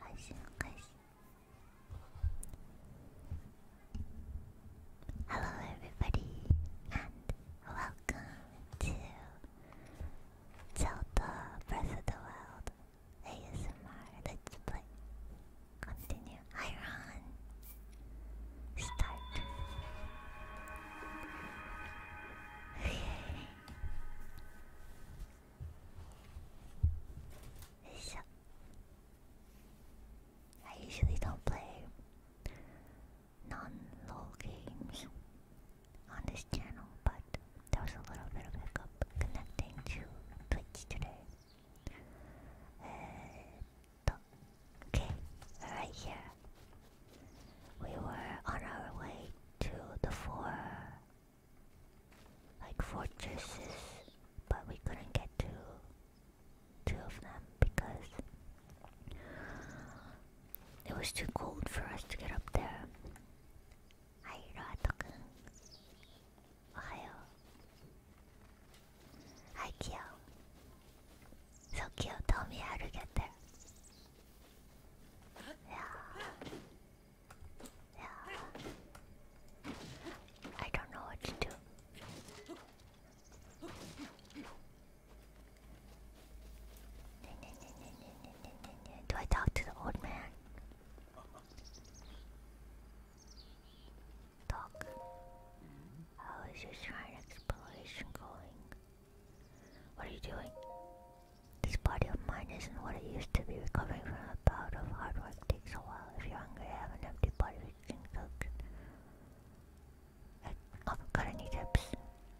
配信開始 Hello everybody and welcome to Zelda Breath of the Wild ASMR Let's Play Continue Iron Start I usually don't play non-lol games on this channel, but there was a little bit of hiccup connecting to Twitch today. Uh, okay, right here. We were on our way to the four like fortresses, but we couldn't get to two of them because it was too cold for us to get up there. Hi, Roatokun. Ohio. Hi, Kyo. So, Kyo, tell me how yeah. I don't know what to do. Do I talk to the old man? Talk. How is your shrine exploration going? What are you doing? This body of mine isn't what it used to be recovering from a bout of hard work it takes a while. If you're hungry, I have an empty body. we can cook. I, oh, got any tips?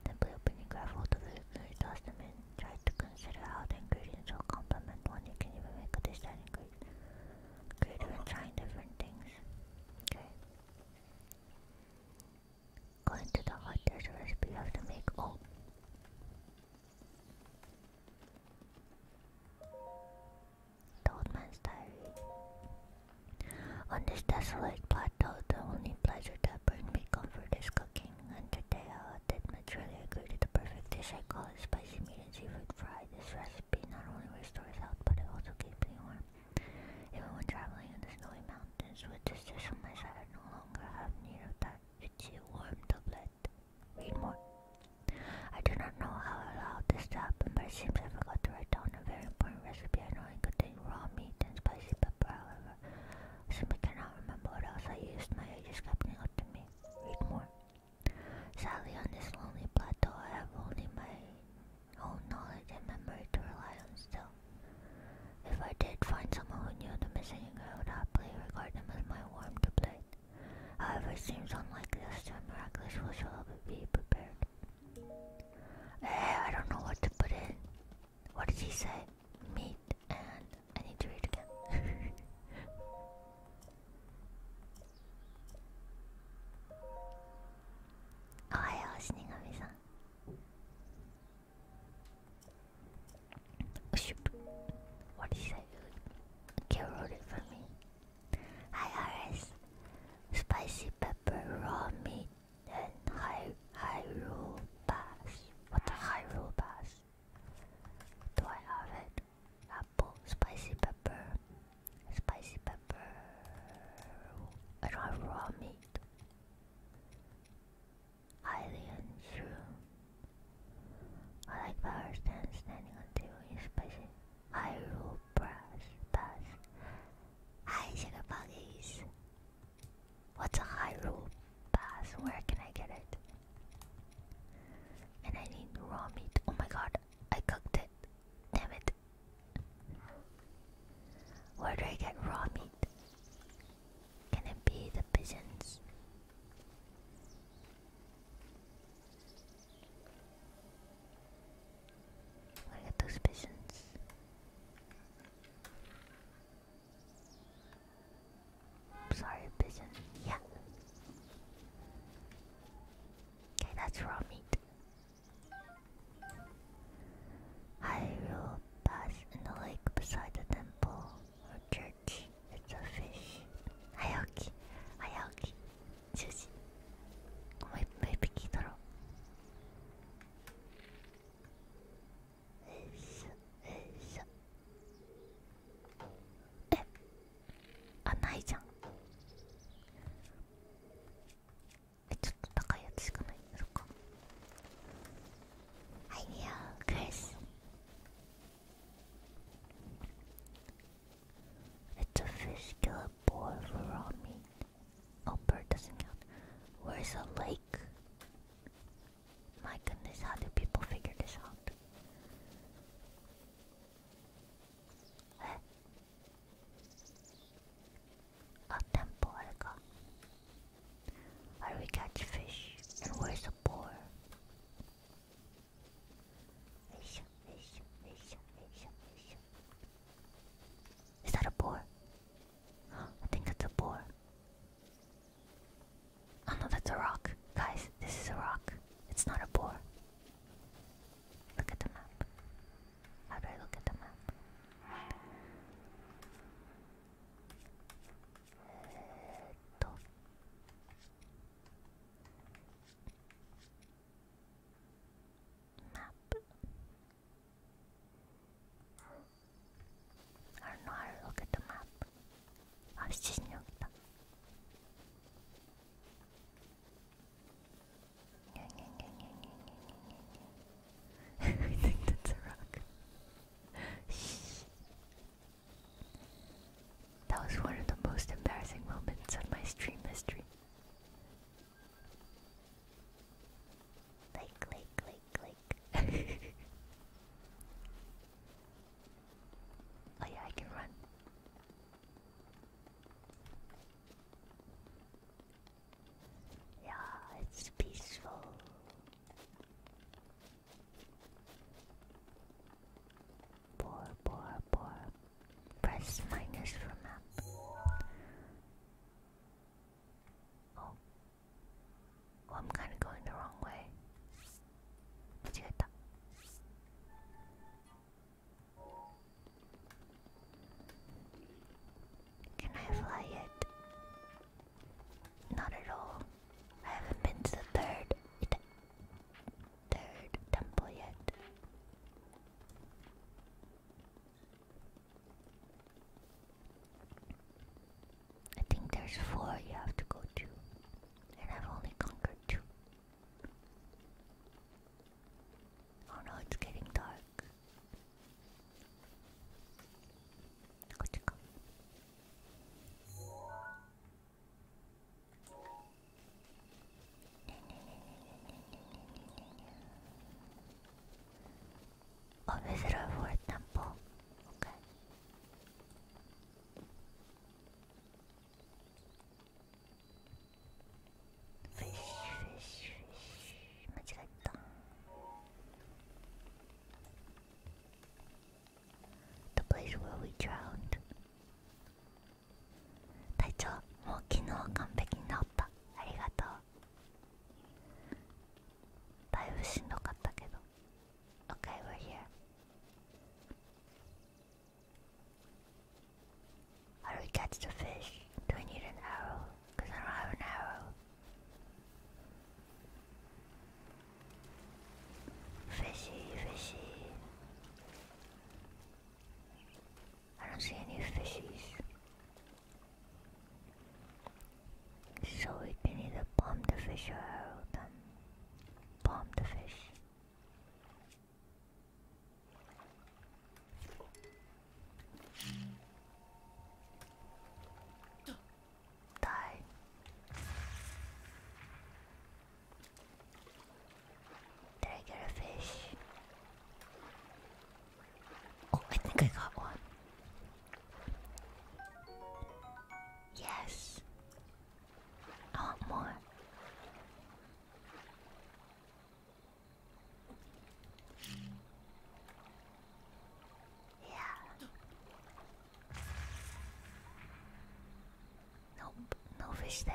Simply open your gravel to the food, toss them in. Try to consider how the ingredients will complement one. You can even make a dish that includes different things. Okay. Go into the hot. recipe have to make. Oh, old man's diary. On this desolate plateau, the only pleasure that brings me comfort is cooking. And today I did materially agree to the perfect dish I call it spicy meat and seafood fry. This recipe not only restores health, but it also keeps me warm. Even when traveling in the snowy mountains with this dish on my side, I no longer have need of that itchy warm doublet. Read more. I do not know how allowed this to happen, but it seems I forgot to write down a very important recipe. I know it contained raw meat and spicy pepper, however. I simply cannot remember what else I used. My age is coming up to me. Read more. Sadly, on this lonely plateau, I have only my own knowledge and memory to rely on still. If I did find someone who knew the missing, I would happily regard them as my warm to play However, it seems unlikely as to a miraculous will shall be prepared. I don't know what to put in. What did he say? Meat and I need to read again. Ohio, Shinigami-san. What is that? Can roll for me. Hi, Spicy pepper, raw meat, and high high roll pass. What the high roll pass? Do I have it? Apple, spicy pepper, spicy pepper. I don't have raw meat. Alien shroom. I like power stand standing on two. is spicy. I rule brass pass. Hi Shagabuggies. What's a high rule pass? Where can I get it? And I need raw meat. Oh my god, I cooked it. Damn it. Where do I get raw meat? Can it be the pigeons? Look at those pigeons. Sorry, pigeon. Yeah. Okay, that's raw I will pass in the lake beside the temple okay, It's a fish. Ayoki, Ayoki, Sushi. Muy, muy pequeño. Eso, eso. Eh, ah, no, えちょっと高いやつしかないそっかはいよクリス it's a fish kill a boar for all meat. Oh, bird doesn't count. Where's a lake? My goodness, how do people figure this out? Eh? A temple, Elga. I will catch fish. And where's the boar? Is that a boar? I think that's a boar. I oh, know that's a rock. Guys, this is a rock. It's not a boar. Look at the map. How do I look at the map? Map. I don't the map. 아, 신기하다. I think that's a rock. That was one of the most embarrassing moments of my stream history. Click, click, click, click. oh, yeah, I can run. Yeah, it's peaceful. Bore, Press minus for map. Oh. oh. I'm kind of going the wrong way. Can I fly it? Not at all. I haven't been to the third third temple yet. I think there's four you have to go to, and I've only conquered two. Oh no, it's getting dark. Go to a visitor for temple. Okay. Fish, fish, fish. The place where we drowned. 隊長もう昨日完璧に治ったありがとうだいぶしんどかったけど OK we're here How do we catch the fish? Do we need an arrow? Because I don't have an arrow. Fishy, fishy. I don't see any fishes. So we can either bomb the fish or arrow them. Bomb the fish. Die. Did I get a fish. Oh, I think I got one. Yes. I want more. Yeah. Nope, no fish there.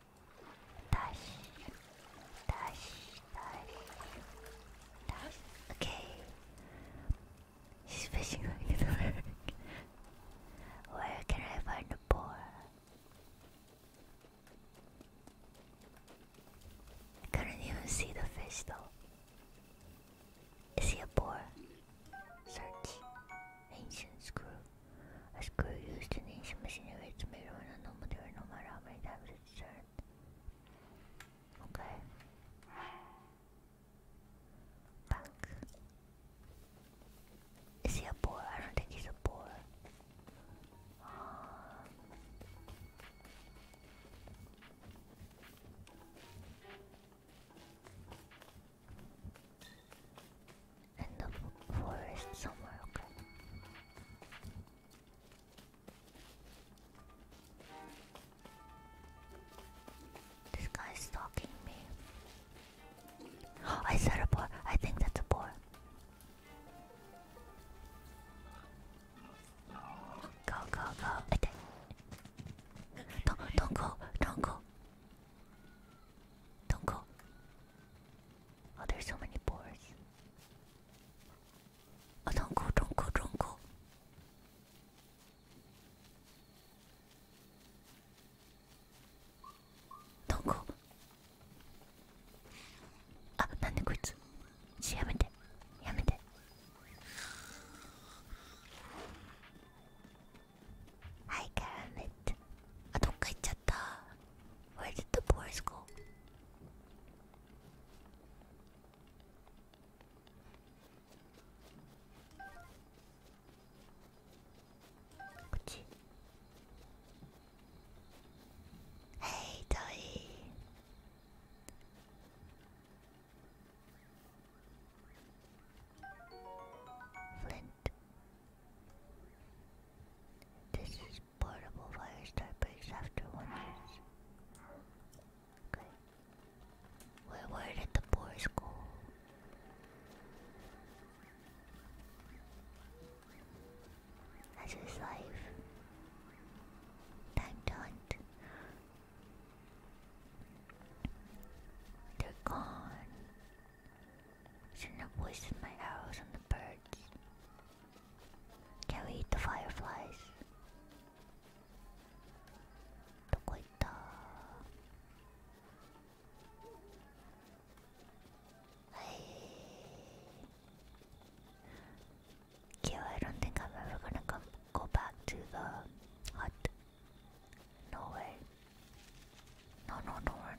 dash, dash, dash, dash. Okay. She's fishing right the Where can I find a boar? I couldn't even see the fish though. Is he a boar? Search. Ancient screw screw used in ancient machinery to make no material no matter how many times it's turned. Okay. Back. Is he a boar? I don't think he's a boar. Um, in the forest somewhere, okay. This guy's stalking me. I said a boar. I think that's a boar. Go, go, go. Don't, don't go. Don't go. Don't go. Oh, there's so many boars. Oh, don't go, don't go, don't go. Don't go. あ、なんでこいつちやめてやめてはい、絡めてあ、どっか行っちゃった ah, where did the boys go? Hey, Toy. Flint. This is portable fire start breaks after one year. Okay. Where did the boys go? That's his life. Time to They're gone. Shouldn't have wasted my arrows on the birds. Can we eat the fireflies? どこ行ったはい。Okay, I don't think I'm ever gonna go back to the hut. No way. No, no, no, run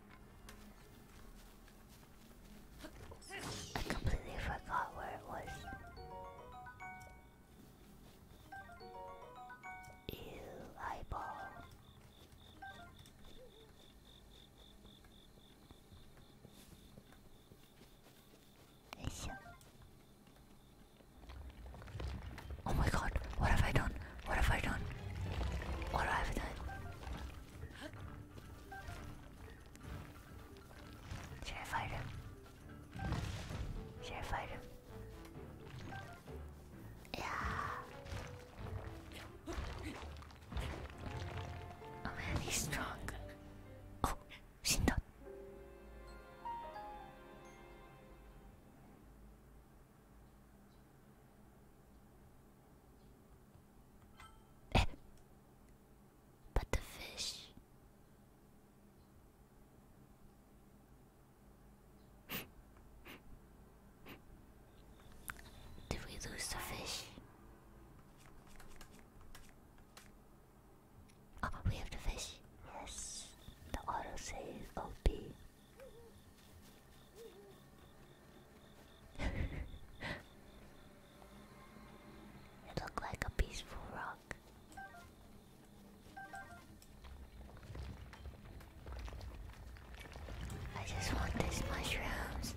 I completely forgot where it was. Ew, eyeball. Oh my god, what have I done? What have I done? What have I done? Should I fight him? Should I fight him? Yeah. Oh man, he's strong. Oh, Shindo but the fish. Did we lose the fish? Oh, we have the fish. Yes. The autosave OP you look like a peaceful rock. I just want these mushrooms.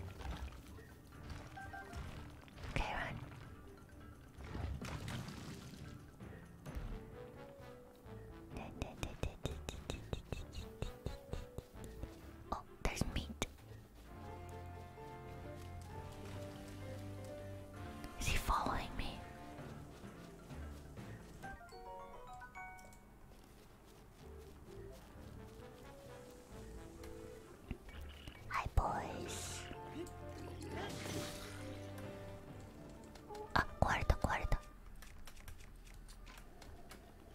Okay, run. Oh, there's meat. Is he following me? Hi, boys. Ah, guarda, guarda.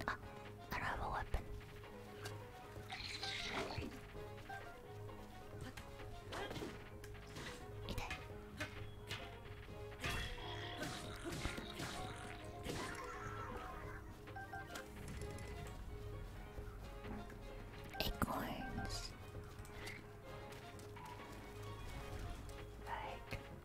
I don't have a weapon. It Acorns. Right.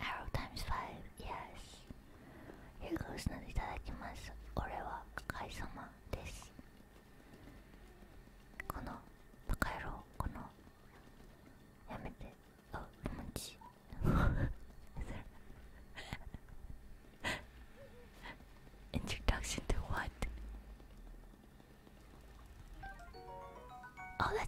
Arrow times five, yes. Here goes not itadakimasu. Ore wa kaisama desu. Kono bakaero, oh, Introduction to what? Oh,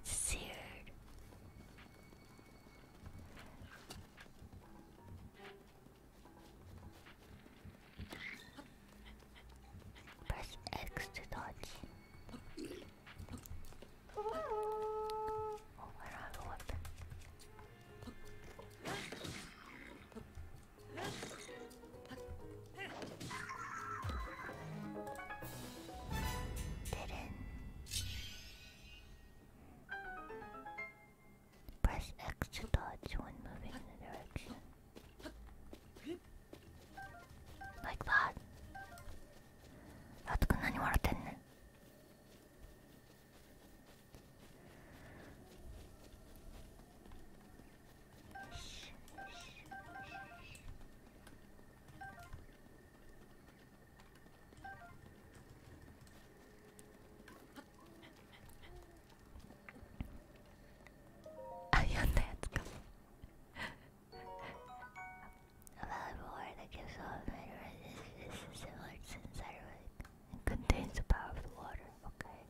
Press X to dodge. Oh, I don't have a weapon. Didn't Press X to dodge when moving in the direction. Like that. I am that guy. A valuable art that gives off minerals is similar to synthetic and contains the power of the water. Okay.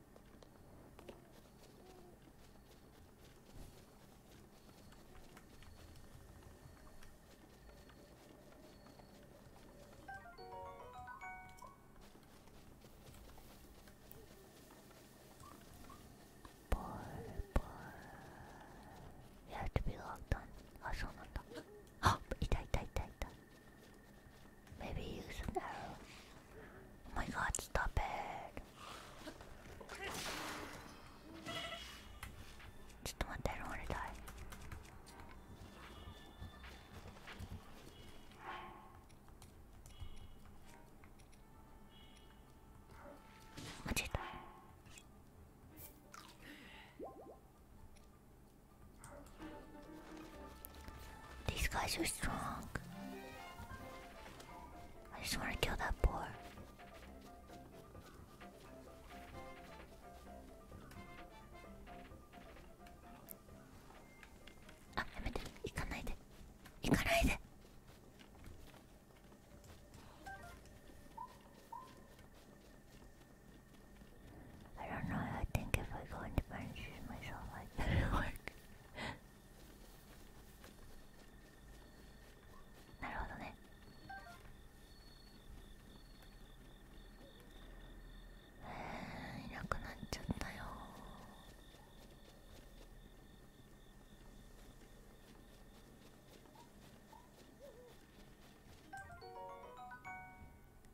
ボールボール You have to be locked on あそうなんだあいたいたいたいた Maybe use an arrow Oh my god stop it ちょっと待って、I don't wanna die. What's it? These guys are strong. I just want to kill that boar. あ、やめて、行かないで行かないで I don't know, I think if I go into punches myself I better work なるほどねいなくなっちゃったよ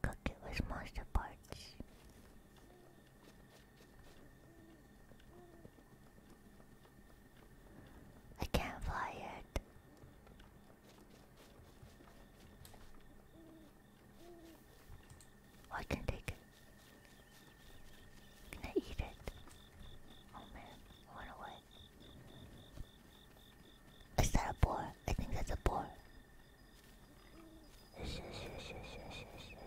Cookie was monster parts. I can't fly yet. I can take it. Can I eat it? Oh man, it away. Is that a boar? I think that's a boar. Yes, yes, yes, yes, yes, yes, yes.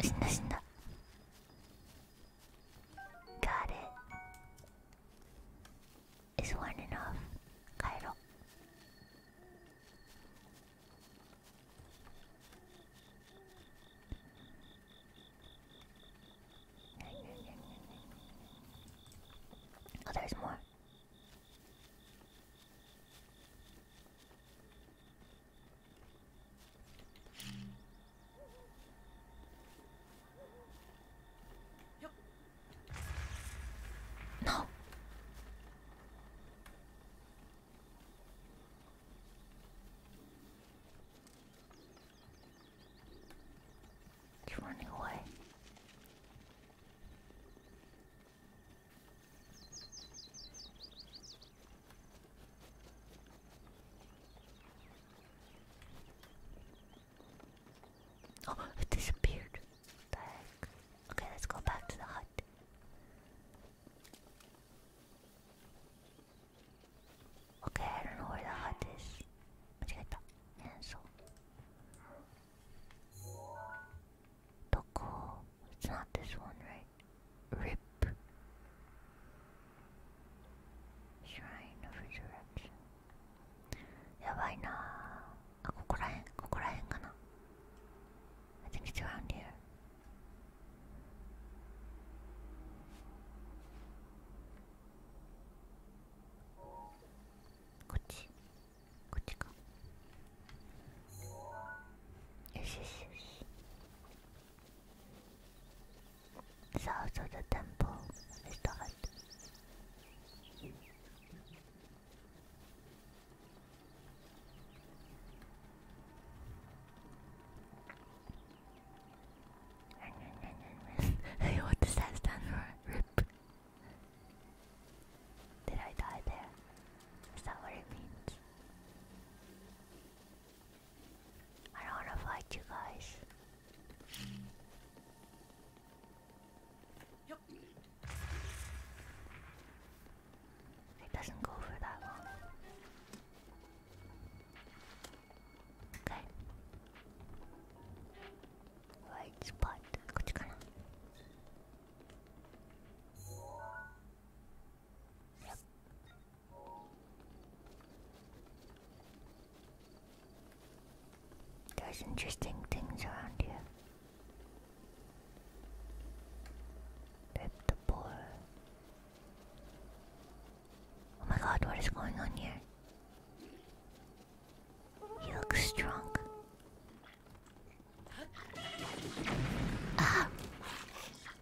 死んだ死んだガーデ is one enough 帰ろう何何何何 Oh, there's more. No. He's running away. Oh, it disappeared. What Okay, let's go back to the hut. Okay, I don't know where the hut is. Yeah, so. Doko. It's not this one, right? Rip. Shrine of Resurrection. やばいなぁ。あ、ここらへん、ここらへんかな。I ah, think it's around here. South of the temple is the hut. what does that stand for? Rip. Did I die there? Is that what it means? I don't wanna fight you guys. Yep. It doesn't go for that long. Okay. Right spot. Good there's interesting things around here. Rip the boar. Oh my god, what is going on here? He looks strong. Ah!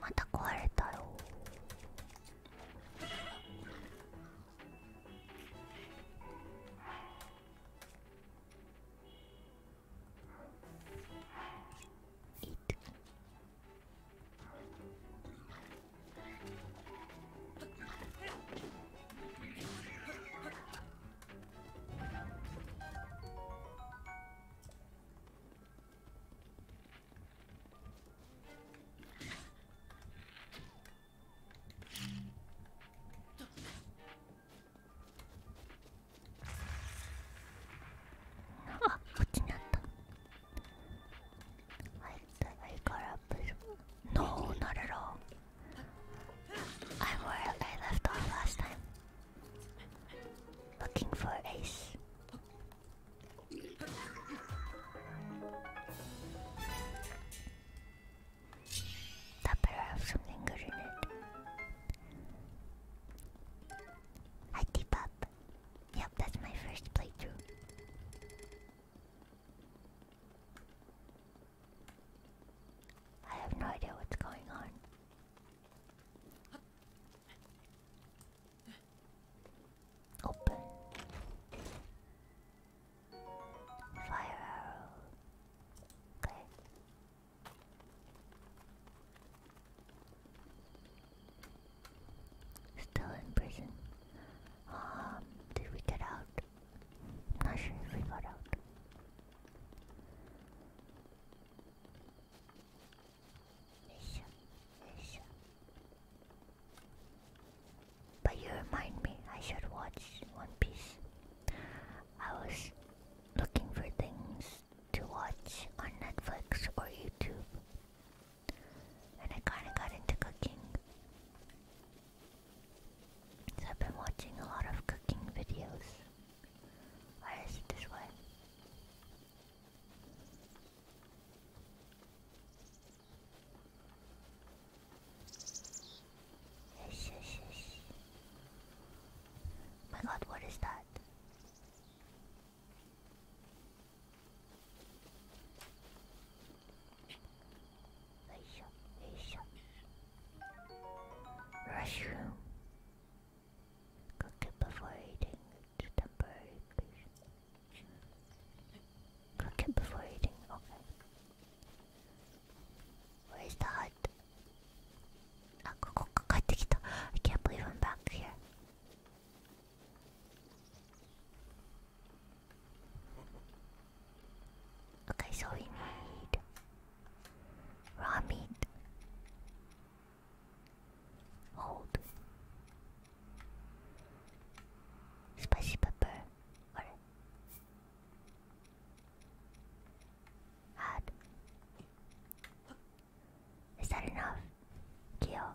また壊れたよあこっちにあったはい、はいからプルノーなるろ I'm where I left off last time. Looking for Ace. That better have something good in it. I deep up. Yep, that's my first playthrough. I have no idea what's going on. Open. Fire arrow. Okay. Still in prison. Um, did we get out? I'm not sure if we But you remind me, I should watch One Piece. I was looking for things to watch on Netflix or YouTube, and I kinda got into cooking. I've been watching a lot of cooking videos. Why is it this way? My god, what is that? Restroom. Cook it before eating. It's temporary patient. Cook it before eating. Okay. Where's the hut? Ah, I can't back Okay, so we need raw meat. Hold. Spicy pepper. Or add. Is that enough? Kill.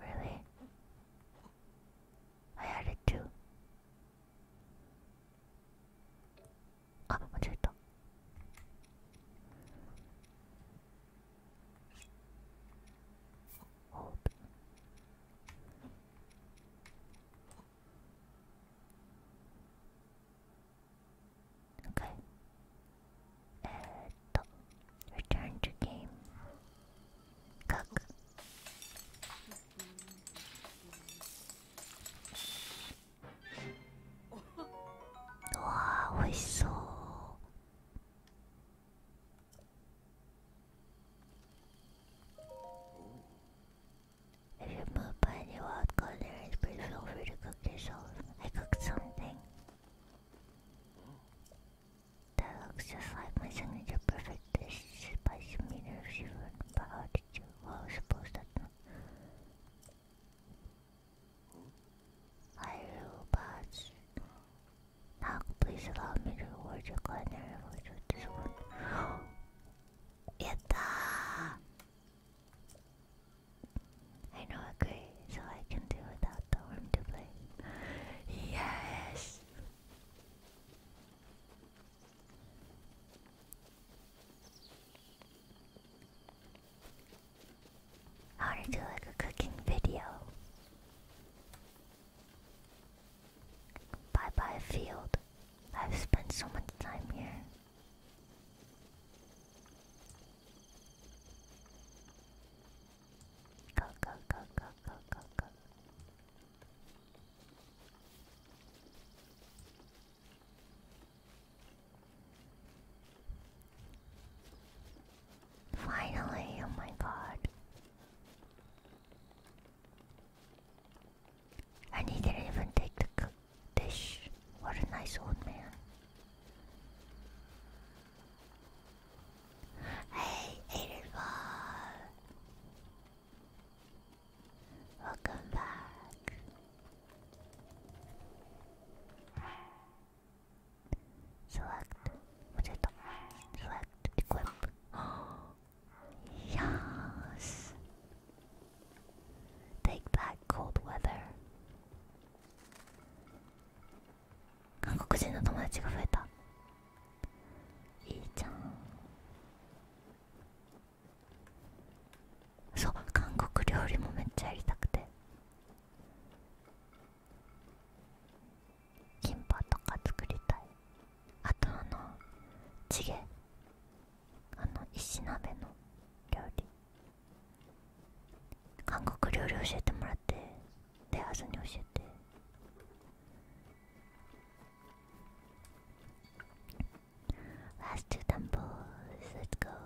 Really? I had it too. Ah, 間違えた。Hold. Okay. Uh, return to game. Cook. Wow, we so. If you're moved by any wild culinary please feel free to cook yourself. I cooked something. That looks just like my signature perfect dish by meter of Shiver. But how did you well suppose that I robots. Now please allow me to reward your culinary voice with this one. Yatta! I know okay, so I can do without the worm to play. Yes! I to do like a cooking video. Bye bye, field. I've spent so much time here. Go, go, go, go, go, go, Finally, oh my god. And didn't even take the dish. What a nice old man. Hey, Aiden Ball. Welcome back. Select. What did Select. Equip. yes. Take that cold weather. 韓国人の友達が増えたいいじゃんそう韓国料理もめっちゃやりたくてキンパとか作りたいあとあのチゲあの石鍋の料理韓国料理教えてもらってレアーズに教えて「Last two temples let's go」よ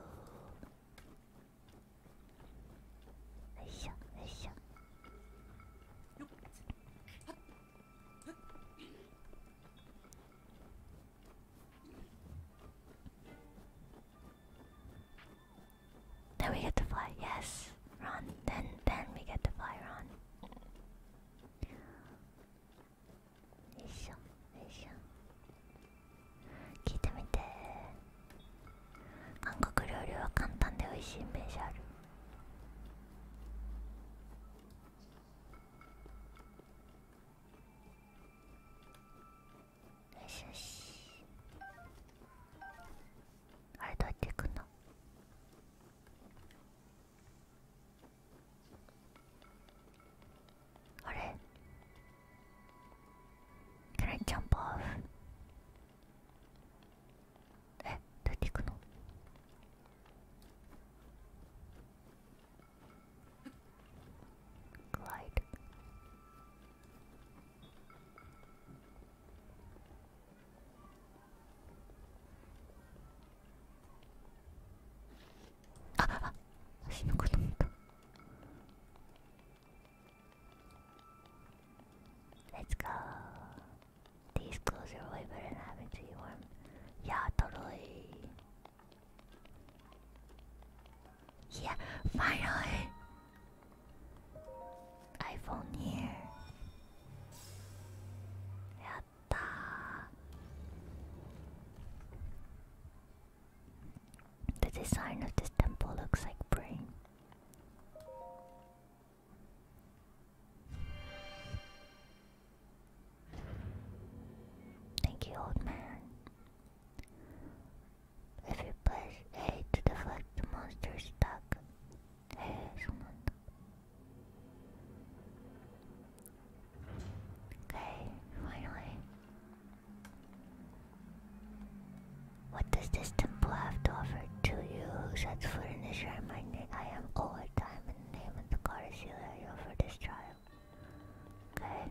いしょよいしょ Then we get to fly, yes. Run. Then then we get to fly, run. 聞いてみて韓国料理は簡単で美味しいイメージあるしよしあれどうやって行くの。あれ Can I jump off? えどうやって行くのグライド Let's go These clothes are way better than having to be warm Yeah, totally yeah, finally! iPhone here. Yatta. The design of this temple looks like brain. Thank you, old man. If you press A to deflect the monsters, stuck. Excellent. Okay, finally. What does this temple have to offer to you who sets foot in this shrine? My name, I am over time in the name of the goddess Celia for this trial. Okay.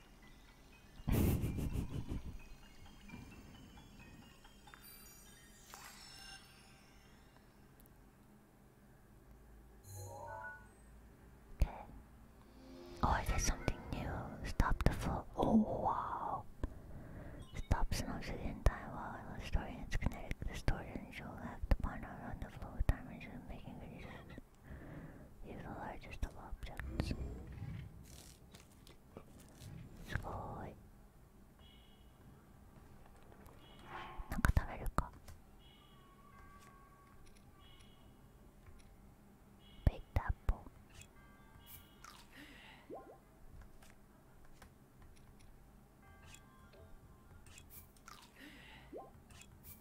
Okay. Oh, is there something new? Stop the flow. Oh, wow. Stops an obsidian time while restoring its kinetic distortion. You'll act upon it on the flow time instead of making it is the largest of objects. すごーい。なんか食べるか。ベイターポン。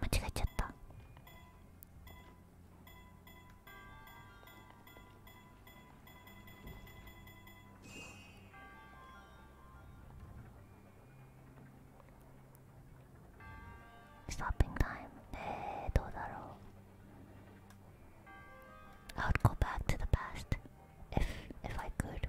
間違えちゃったストッピングタイムえー、どうだろう I would go back to the past if if I could.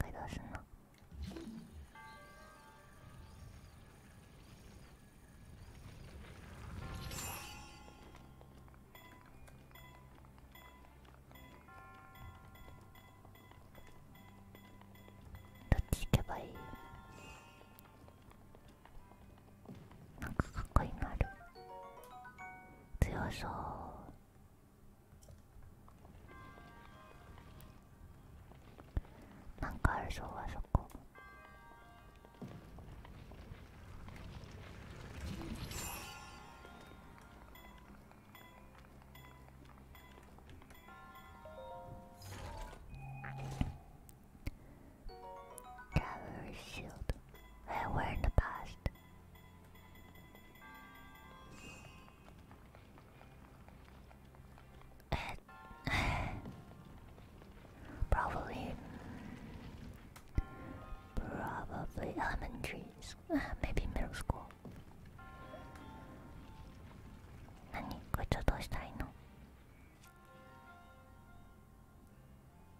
どうすんのどっち行けばいいなんかかっこいいのある強そうなんかあるぞあそこトラベルシールド We're in the past probably, probably elementary, maybe middle school. 何こいつはどうしたらいいの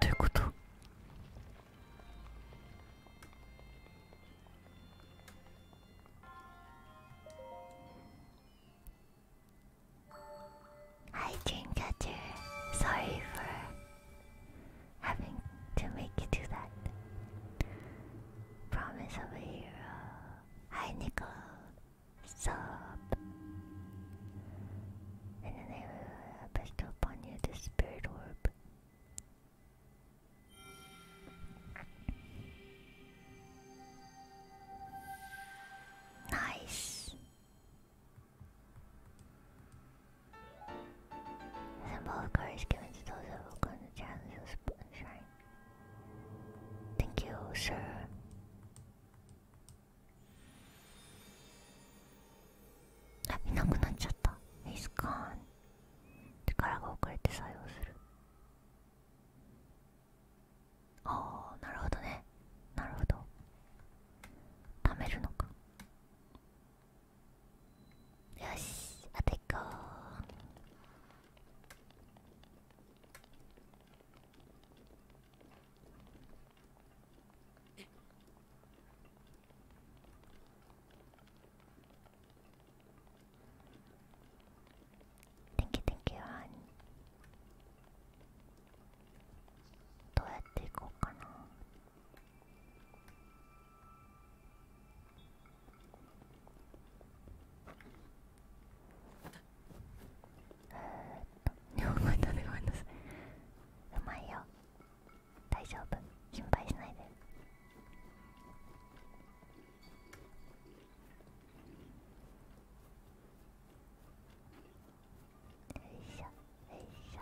Deux couteaux. Hi Dreamcatcher. Sorry for having to make you do that. Promise of a hero. Hi, Nickel. Sup? And then I bestow upon you the spirit orb. Nice. Symbolic card is given to those who have gone to challenge who shine. Thank you, sir. Ah, いなくなっちゃった。He's gone. 力が遅れて作用する。ああ、なるほどね。なるほど。貯めるのか。よし、あと1個。Thank you, thank you, どうやって行こうかな日本語うまいよ大丈夫心配しないでよいしょよいしょ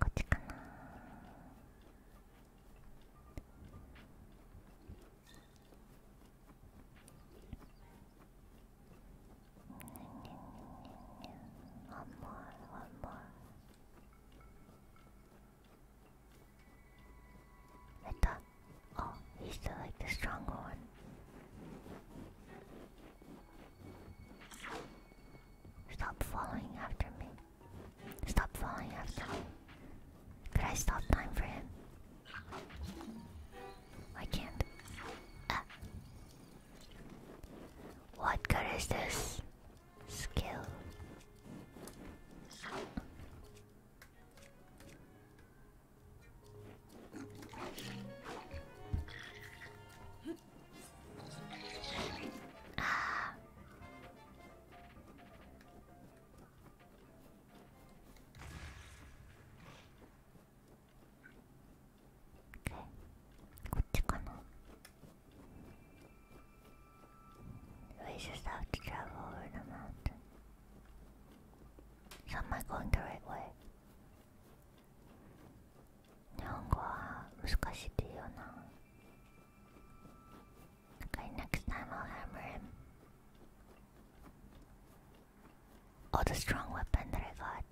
こっちかな One more, one more. Meta. Oh, he's still like the stronger one. Stop following after me. Stop following after me. Could I stop time for him? I can't. Uh. What good is this skill? こっちかな We just have to travel over the mountain. So am I going the right way? 日本語は難しいっていうよな Okay, next time I'll hammer him. All oh, the strong weapon that I got.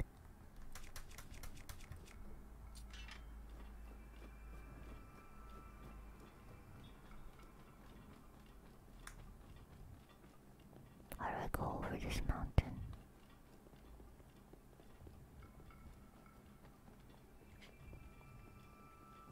How do I go over this mountain?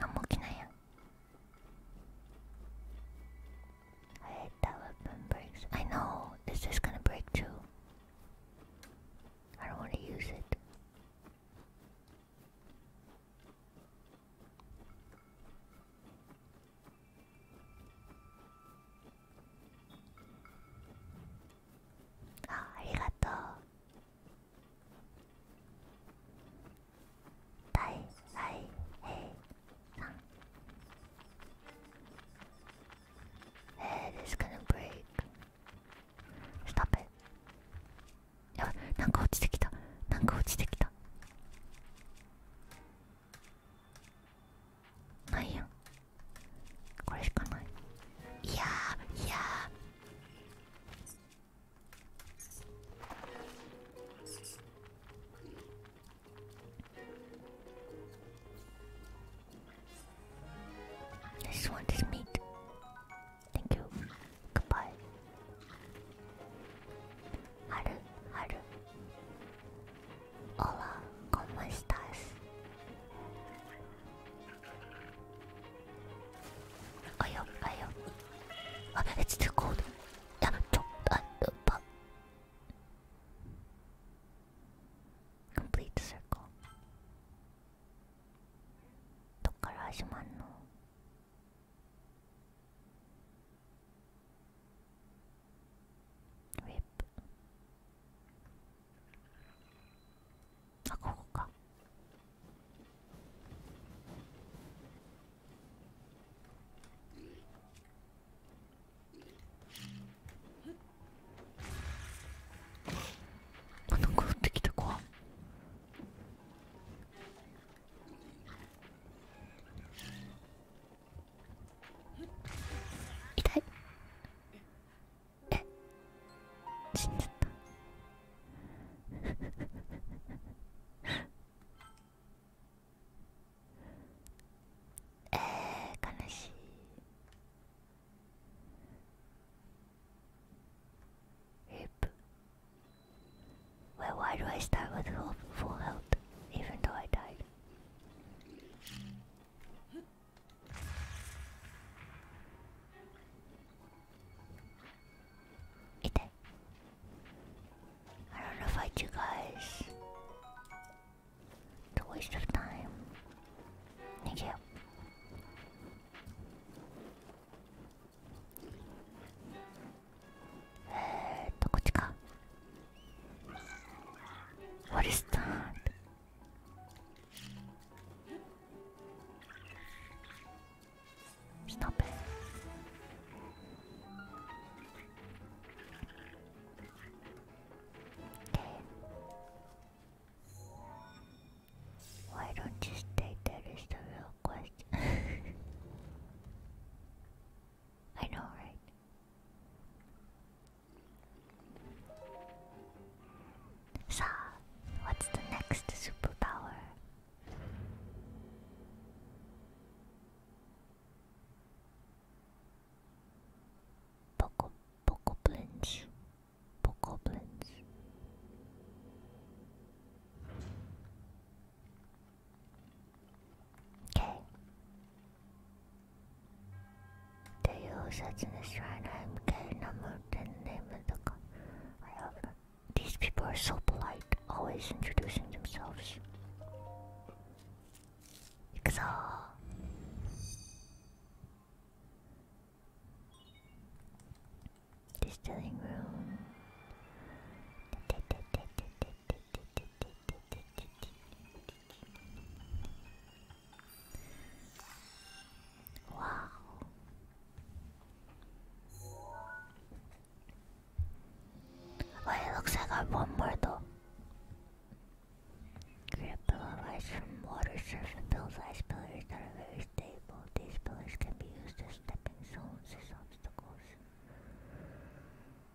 何も起きないや I hate that weapon breaks. I know, it's just gonna break too. I don't want to use it. ありがとう大大平さん Head is gonna b なんかちてきた。なんかちてきた。ないやんこれしかないいやーいやー This one is meat Thank you Goodbye Haru, Hola, ¿cómo estás? I it's too cold. Yeah, jump the pump. Complete circle. どっから始まんのウェブあここかあなんか降ってきた怖っ痛いえ死んじゃったえー、悲しいヘプ Well, why do I start with full health, even though I died? I don't know if I do guys. It's a waste of time. Thank you. えっとこっちか I know, right? So, what's the next superpower? Poco, poco blins, poco blins. Okay, the usage in the shrine I number ten name of the I These people are so polite, always introducing themselves. Ixal. Distilling room. Wow. Well, it looks like I got one more though. Grab pillar ice water surf and ice pillars that are very stable. These pillars can be used as stepping stones as obstacles.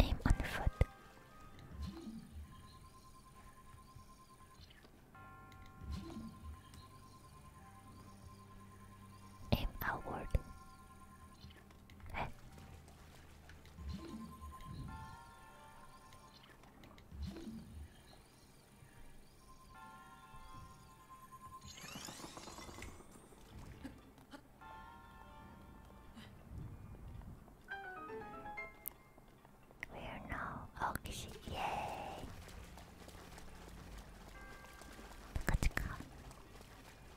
Aim on foot. Aim outward. We are now oxy. Yay! Chika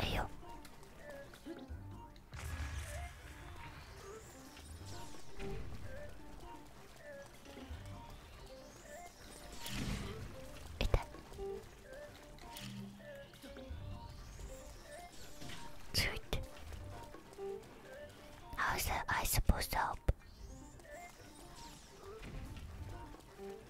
Ayo. Ita. Sweet. How's that I supposed to help?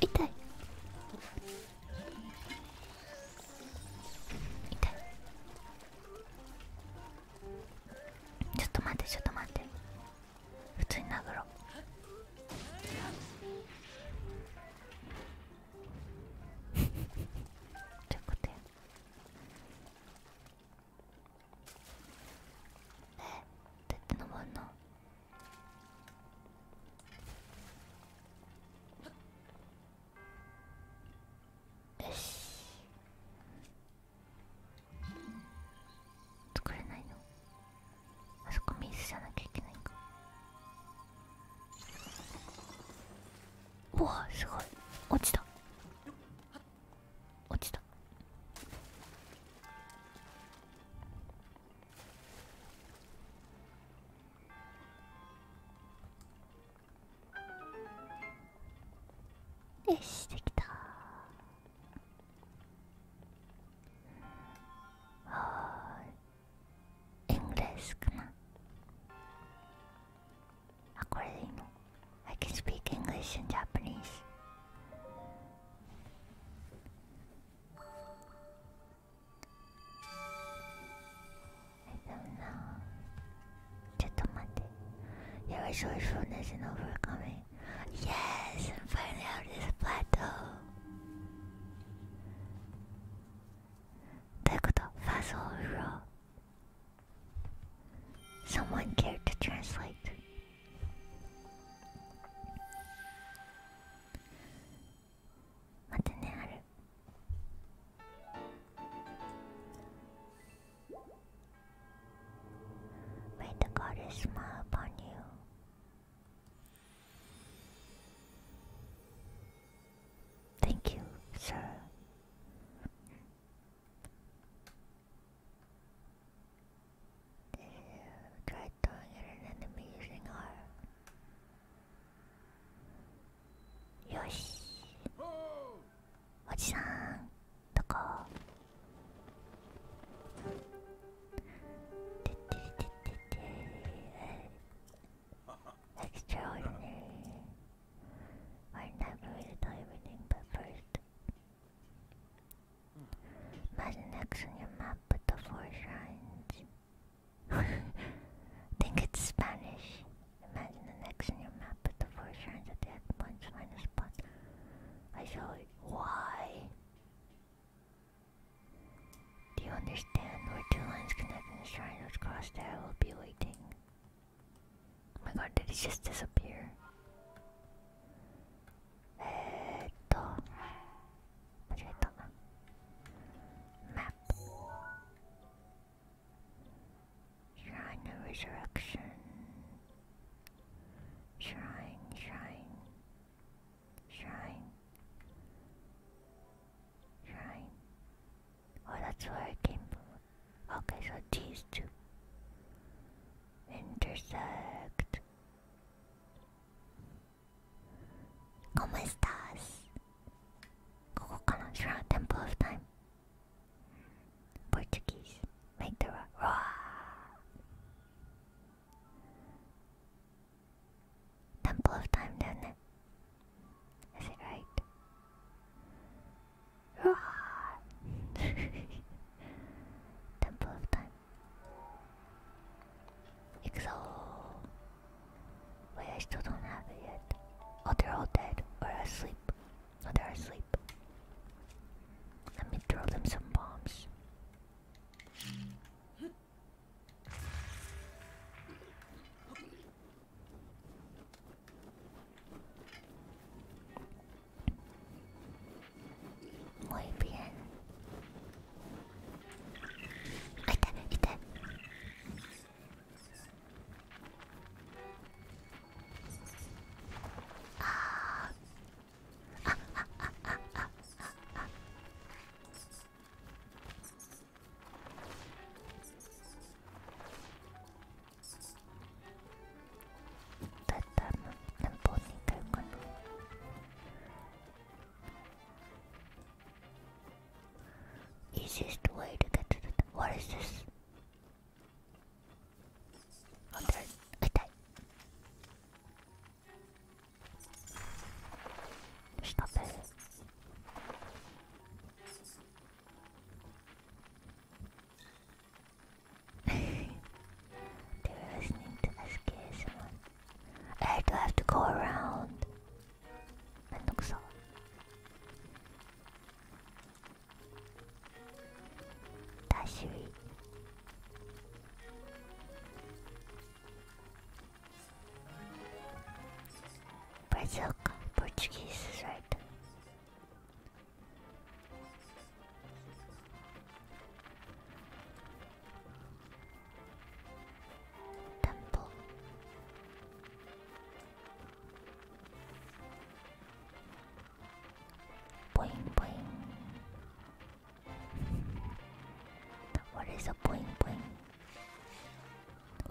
痛い痛いちょっと待ってちょっと待って普通に殴ろう ちょっと待ってえっって登んのよし作れないのあそこ水じゃなきゃいけないかおわすごい落ちた落ちたよしできたはーいイングレスかなあこれでいいの I can speak English and Japanese I don't know. Just There were resourcefulness and overcoming. Yes! I'm finally out of this plateau! どういうこと Fast overall. Someone cared to translate. またねある「May the goddess smile upon you」Thank you, sir to try throwing at an enemy using R. Yoshi! oji Extraordinary. We're not going to do everything, but first, Imagine X on your map with the four shrines. Think it's Spanish. Imagine an X on your map with the four shrines at the X points minus one. I show it. Why? Do you understand where two lines connecting the shrine which cross there will be waiting? Oh my god, did it just disappear? えー、っと間違えたなマップ Shrine of Resurrection Shrine Shrine Shrine Shrine Oh that's where I came from Okay so these two intersect ¿Cómo estás? Google Connection Temple of Time. Portuguese. Make the rock. Ra Temple of Time, doesn't it? Is it right? Roar! Temple of Time. Exo. Wait, I still don't have it yet. Oh, they're all dead or asleep. Oh, they're asleep. Let me throw them some bombs. Muy bien. あ痛い痛いあああああああ Easiest way to get to the. What is this? Oh, there. Stop it. they were listening to us kiss someone. I do have to go around. I think so. Brazil, Portuguese is right. Temple. Boing What is a boing boing?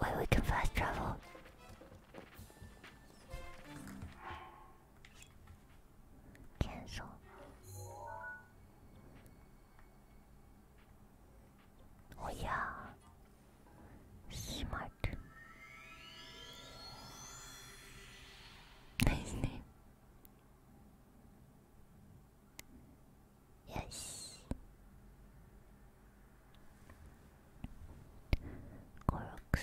Wait, we can fast travel. Cancel. Oh yeah. Smart. Nice name. Yes. Koroks.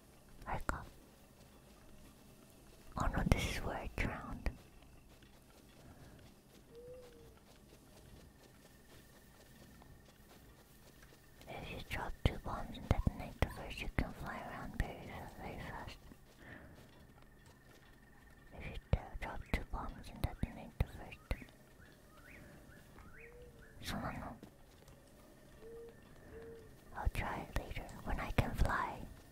Arkham. Oh no, this is where I drowned. If you drop two bombs and detonate the first, you can fly around very, very fast. If you drop two bombs and detonate the first. So no. I'll try it later when I can fly.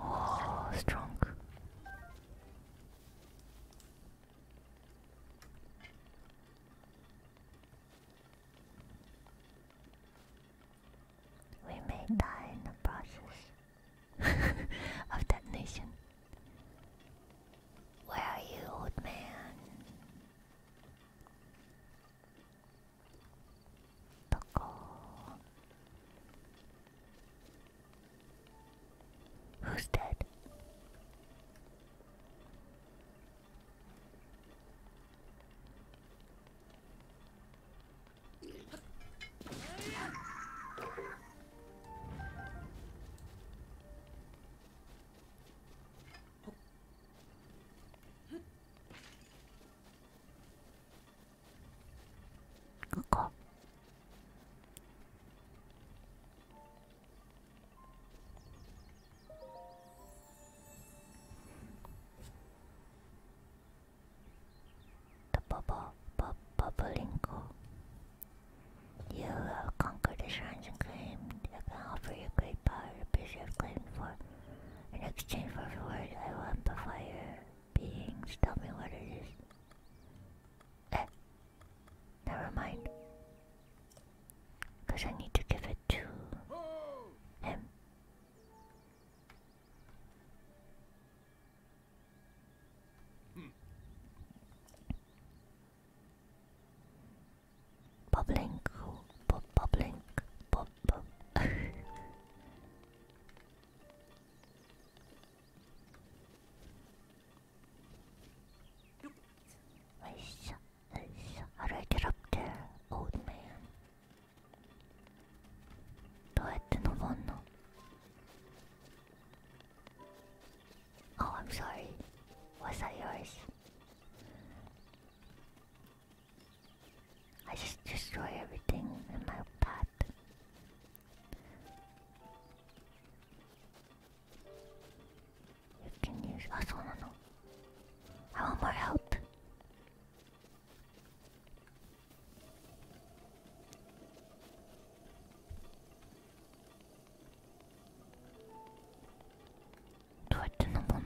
Oh, strong. We may die in the process of detonation. Where are you, old man? Buckle. Who's dead? The bubble, bu bubblinko. You have conquered the shrines and claimed. I can offer you great power, a piece you have claimed for. In exchange for the word, I will amplify your beings. Tell me what it is. Eh, never mind. I need to give it to him. Bubbling, cool, bubbling, bu bu. Nice, nice. How do I get up there, Oh, I'm sorry. Was that yours? I just destroy everything in my path. You can use. Ah, so no, no. I want more help. Do I turn them on?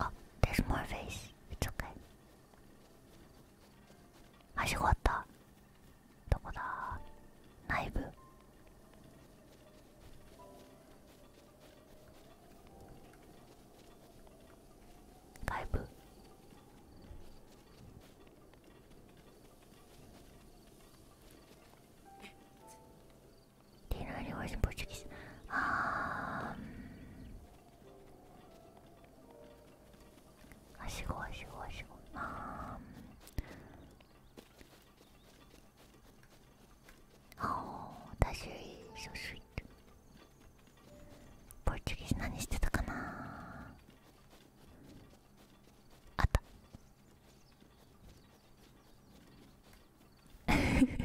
Oh, there's more face. It's okay. I saw it. はしごあった。どこだ内部。外部 dinner rewards in Portuguese. I should Um, Ashigo, Ashigo, Ashigo. Um, oh, that's so sweet. ポルチュギーズ何してたかな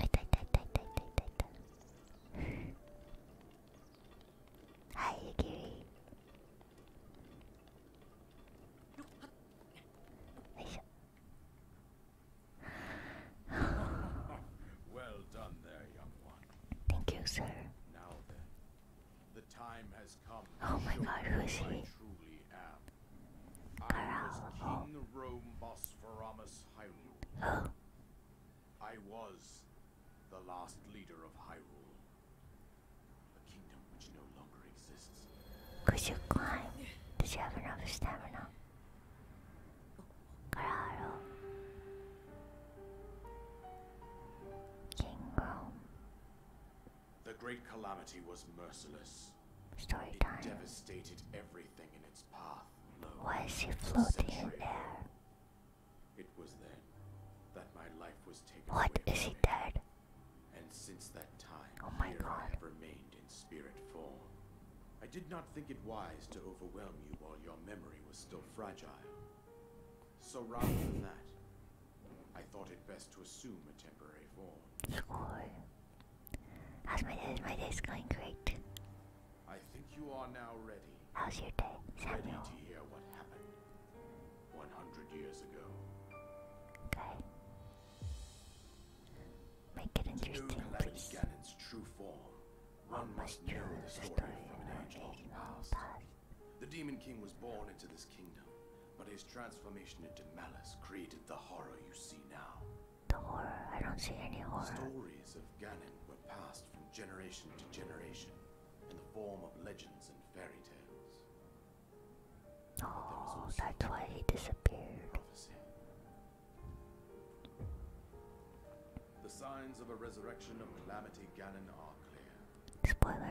あいたいたいたいたいたいたいたはいゆきりよいしょ well done there, young one. Thank you, sir. The time has come. Oh my god, who is he? I was King Rome Hyrule. I was the last leader of Hyrule. A kingdom which no longer exists. Could you climb? Did you have enough stamina? Cararo. King Rome. The great calamity was merciless. Story it devastated everything in its path. Why is he floating in air? It was then that my life was taken. What away is he dead? And since that time, oh my here God. I have remained in spirit form. I did not think it wise to overwhelm you while your memory was still fragile. So rather than that, I thought it best to assume a temporary form. How's my day? My day's going great. I think you are now ready. How's your day, Samuel? Ready to hear what happened 100 years ago. Make it interesting, please. must know the story from the Demon King was born into this kingdom, but his transformation into malice created the horror you see now. The horror? I don't see any horror. Stories of Ganon were passed from generation to generation in the form of legends and fairy tales. Oh, that's why he disappeared. The signs of a resurrection of Calamity Ganon are clear. Spoilers.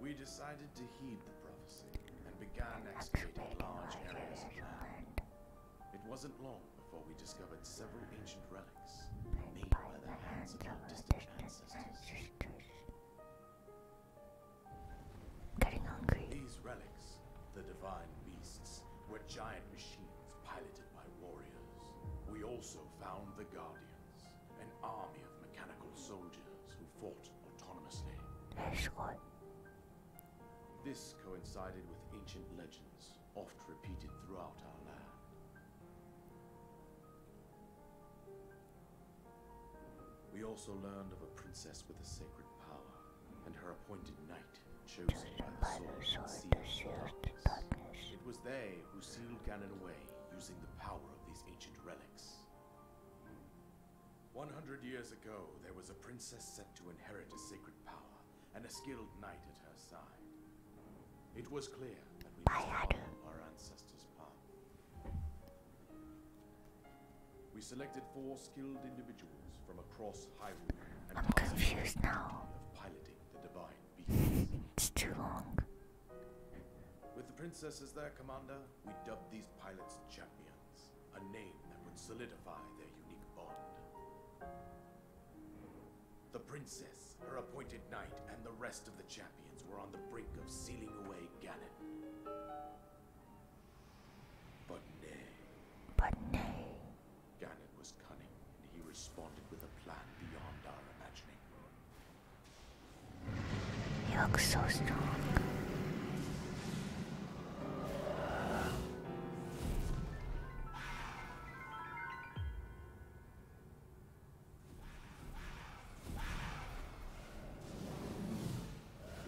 We decided to heed the prophecy and began excavating large areas of land. It wasn't long before we discovered several ancient relics made by the hands of our distant ancestors. Getting hungry. These relics, the divine beasts, were giant machines piloted by warriors. We also found the Guardians, an army of mechanical soldiers who fought autonomously. This coincided with ancient legends, oft repeated throughout our land. We also learned of a princess with a sacred power, and her appointed knight chosen by the sword to shield the darkness. It was they who sealed Ganon away using the power of these ancient relics. One hundred years ago, there was a princess set to inherit a sacred power and a skilled knight at her side. It was clear that we must follow our ancestors' path. We selected four skilled individuals from across Hyrule and I'm confused now. of piloting it's too long. With the princess as their commander, we dubbed these pilots champions, a name that would solidify their unique bond. The princess, her appointed knight, and the rest of the champions were on the brink of sealing away Ganon. But nay. But nay. Gannon was cunning, and he responded with a plan beyond our imagining. You look so strong.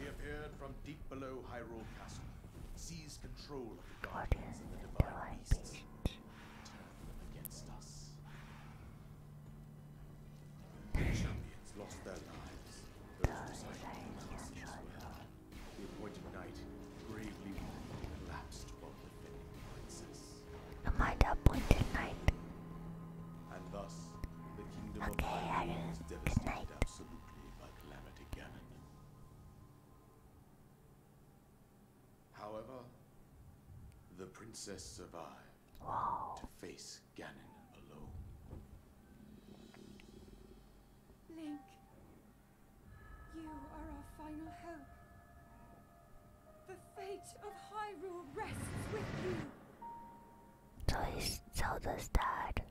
He appeared from deep below Hyrule Castle, seized control of the guardians and the divine beasts, the champions lost their lives. Those decided to last as The appointed knight bravely won and collapsed while defending the princess. Am I the appointed knight? And thus, the kingdom okay, of Ireland was devastated absolutely by Calamity Ganon. However, the princess survived to face Ganon alone. Link, you are our final hope. The fate of Hyrule rests with you. So he's Zelda's dad.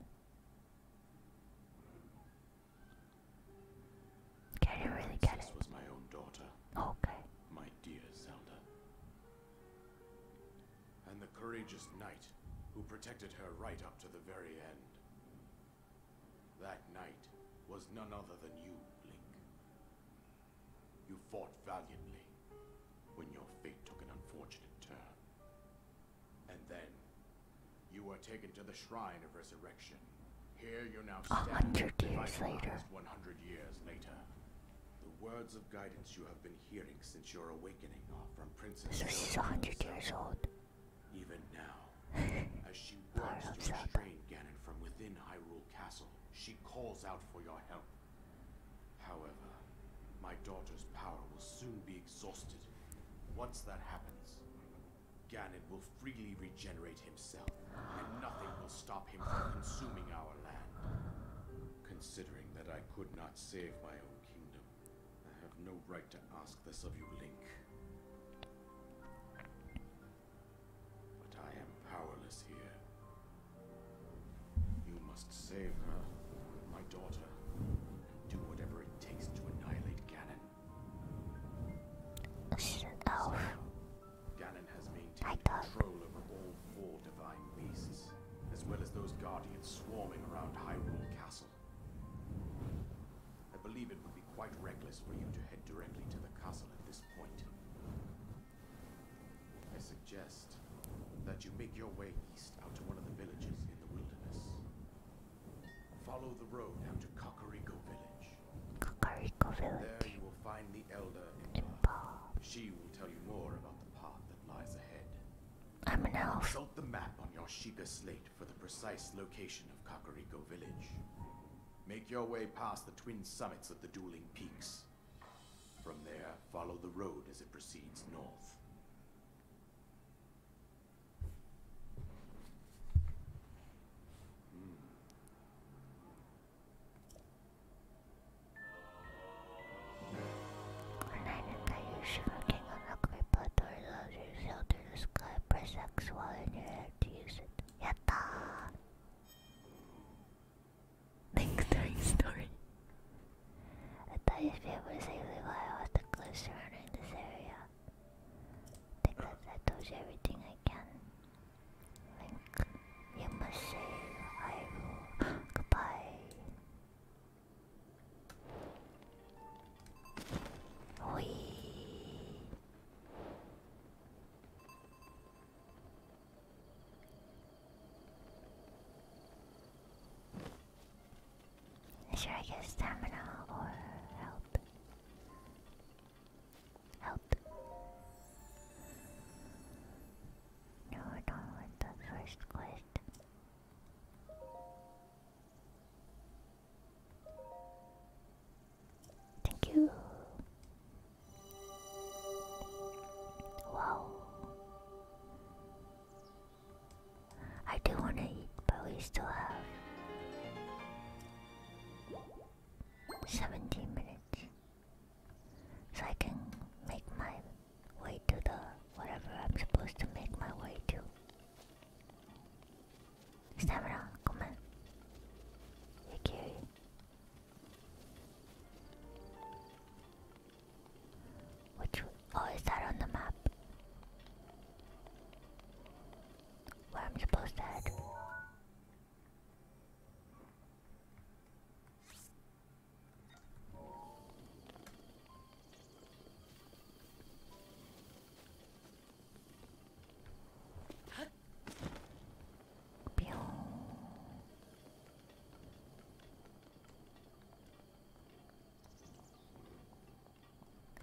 Can you really get it? was my own daughter. Okay. My dear Zelda. And the courageous knight who protected her right up to the very end. That knight was none other than you, Link. You fought valiantly when your fate took an unfortunate turn. And then, you are taken to the Shrine of Resurrection. Here you now stand. A hundred years later. One hundred years later. The words of guidance you have been hearing since your awakening are from Princess. So hundred years old. Even now, as she works to restrain Ganon from within Hyrule Castle, she calls out for your help. However, my daughter's power will soon be exhausted. Once that happens, Ganon will freely regenerate himself, and nothing will stop him from consuming our land. Considering that I could not save my own kingdom, I have no right to ask this of you, Link. But I am powerless here. You must save her, my daughter, and do whatever it takes to annihilate Ganon she's an elf. Ganon has as well as those guardians swarming around Hyrule Castle. I believe it would be quite reckless for you to head directly to the castle at this point. I suggest that you make your way east out to one of the villages in the wilderness. Follow the road out to Kakariko Village. There you will find the elder She will tell you more about the path that lies ahead. I'm an elf. Consult the map on your Shika slate for the precise location of Kakariko Village. Make your way past the twin summits of the dueling peaks. From there, follow the road as it proceeds north. Hmm. When I that you're shrinking on a creeper door loves yourself to the sky, press X while in your head to use it. Yatta! Thanks story. I thought you'd be able to safely while I was the cliff surrounding this area. Because I do everything I can. Link, you must say I will. Goodbye. Wee. Should I get stamina or health? Help. No, I don't want the first quest. Thank you. Wow. I do want to eat, but we still have 17 minutes. So I can make my way to the whatever I'm supposed to make my way to. Stamina, come on. You carry. Which oh is that on the map? Where I'm supposed to head?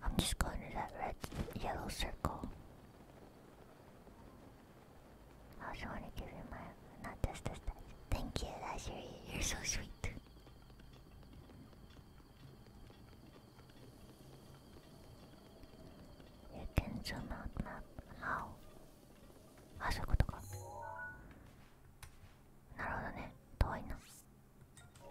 I'm just going to that red yellow circle. I just want to give you my not this this that. Thank you, that's you're so sweet. You can zoom out map. How? あ、そういうことか。なるほどね。遠いな。Ah,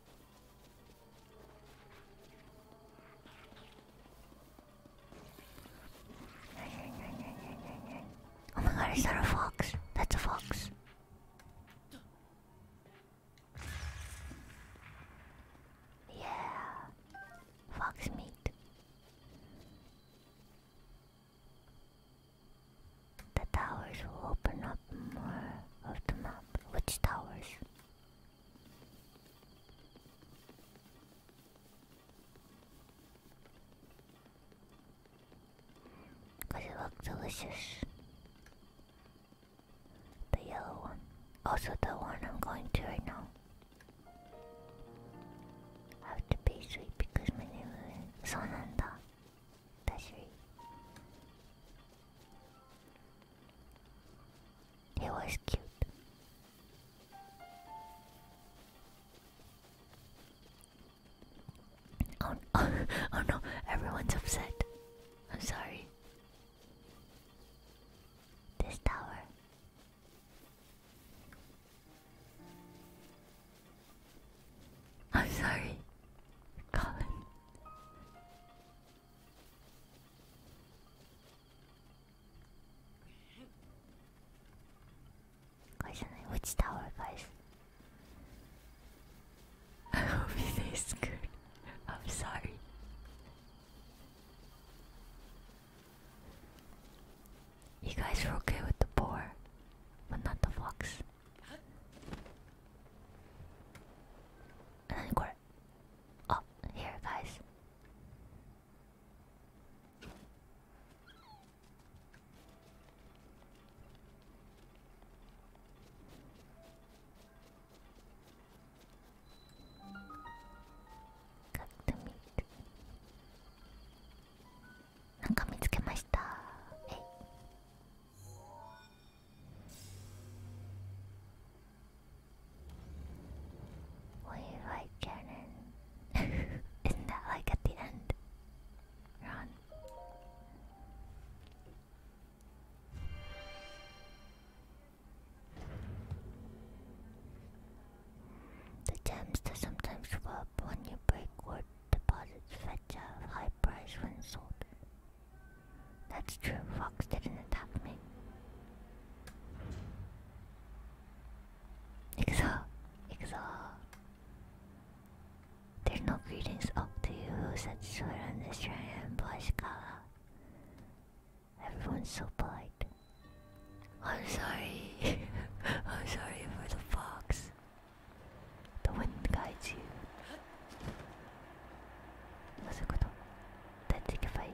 Oh my god, is that a fox? That's a fox. Yeah. Fox meat. The towers will open up more of the map. Which towers? Cause it looked delicious. The yellow one. Also the one I'm going to right now. have to be sweet because my name is Sonanda. It was cute. oh, oh no, everyone's upset. I'm sorry. This tower. I'm sorry, Colin. これじゃない落ちた our guys I hope it tastes good I'm sorry You guys were okay with the boar but not the fox 何これあ、oh, here guys ットミルクなんか見つけましたえい We like cannon. Isn't that like at the end? Ron. The gems that sometimes rub when you break wood deposits fetch a high price when sold. That's true, Fox didn't attack me. Exile, exile. There's no greetings up to you who said swear on this shrine and color. Everyone's so polite. I'm sorry. I'm sorry for the fox. The wind guides you. What's the good? That's a fight.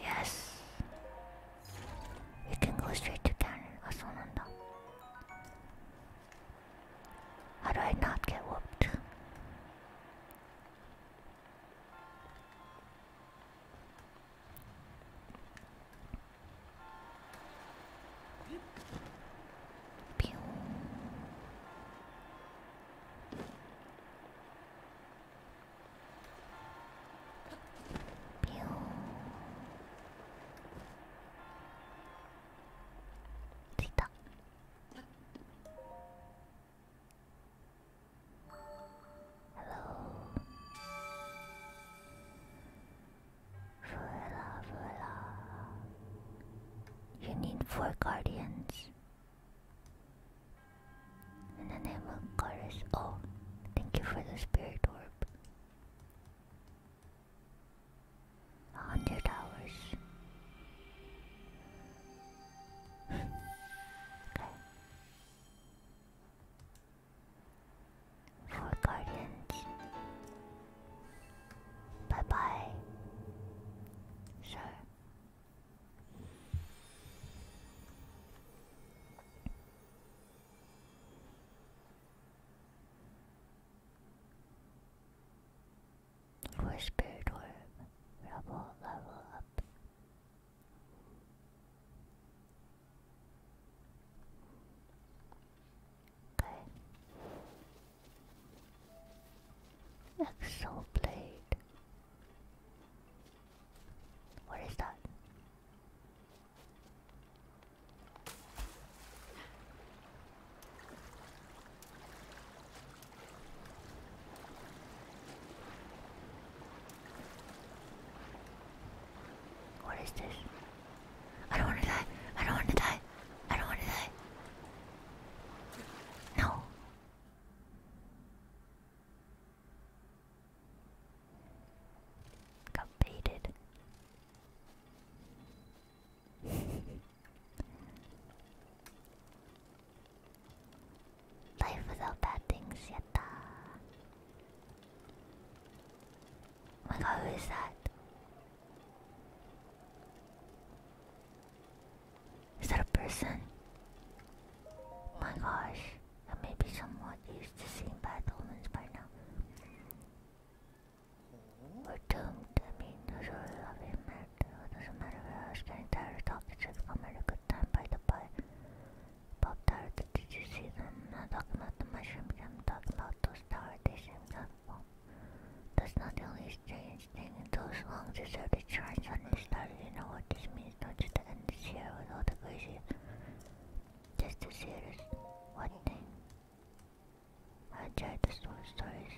Yes. You can go straight to cannon. Ah, so How do I not get whooped? Pew. ついたハローふらふら You need four guardians in the name of Chorus. Oh, thank you for the spirit orb. A hundred hours. okay. Four guardians. Bye bye. Sure. For Spirit Orb, Rubble Level Up. Okay. Exo Blade. What is that? What is this? I don't want to die. I don't want to die. I don't want to die. No. Got baited. Life without bad things, yatta. Oh my god, who is that? Is that a person? Oh my gosh, I may be somewhat used to seeing bad omens by now. We're doomed. I mean, those are loving It doesn't matter where I was getting tired of talking to them. I a good time by the by. Bob tired. Did you see them? I'm not talking about the mushroom. I'm talking about those tower That's not the only strange thing. Those long deserted shrines suddenly started. You know what this means? touch the end share with all the crazy. Just to see one thing. I tried to store stories.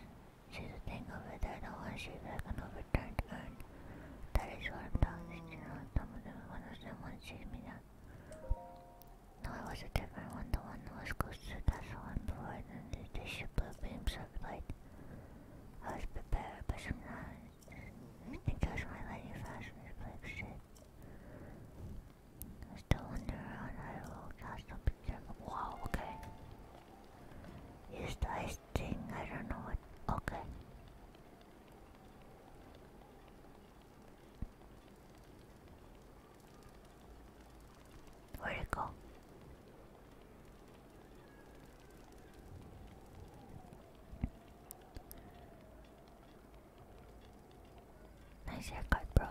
See the thing over there, the one sheep I can overturn turn. That is what I'm talking you know, some of them me now. No, it was a different one, the one that was close to that's the one before and then the, the ship blue beams of light. I was prepared, but somehow and my lady fashion is like shit. I still wonder how that will cast a picture. Wow, okay. Use the ice thing, I don't know Okay. Where'd it go? Nice haircut, bro.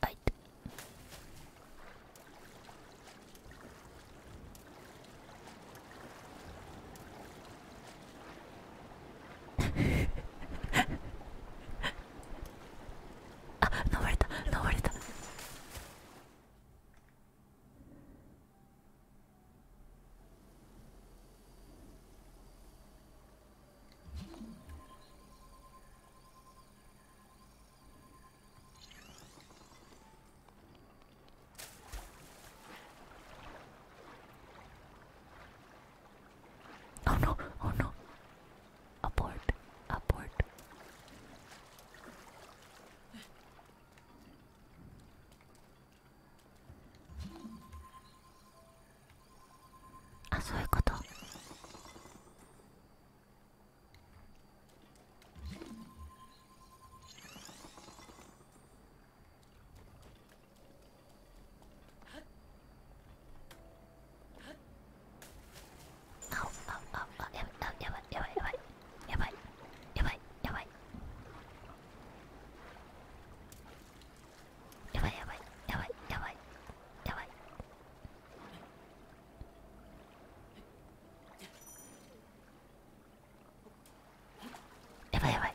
あいてあれた登れた Oh no, oh no. Abort, abort. あそういうことああああやばいやばやばいやばいやばいやばいやばいやばいやばいやばいやばいやばいやばいやばい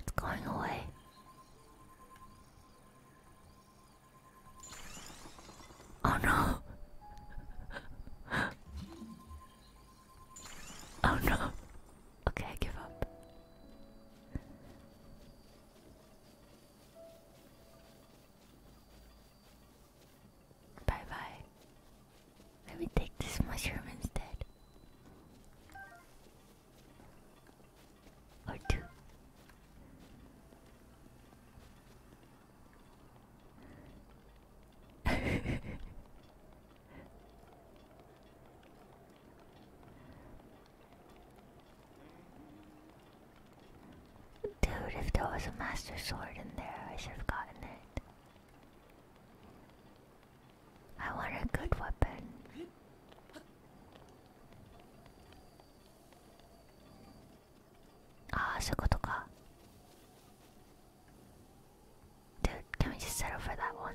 It's going away. Oh no. oh no. Okay, give up. Bye bye. Let me take this mushroom instead. Or Dude, if there was a Master Sword in there, I should have gotten it. I want a good weapon. Ah, so Dude, can we just settle for that one?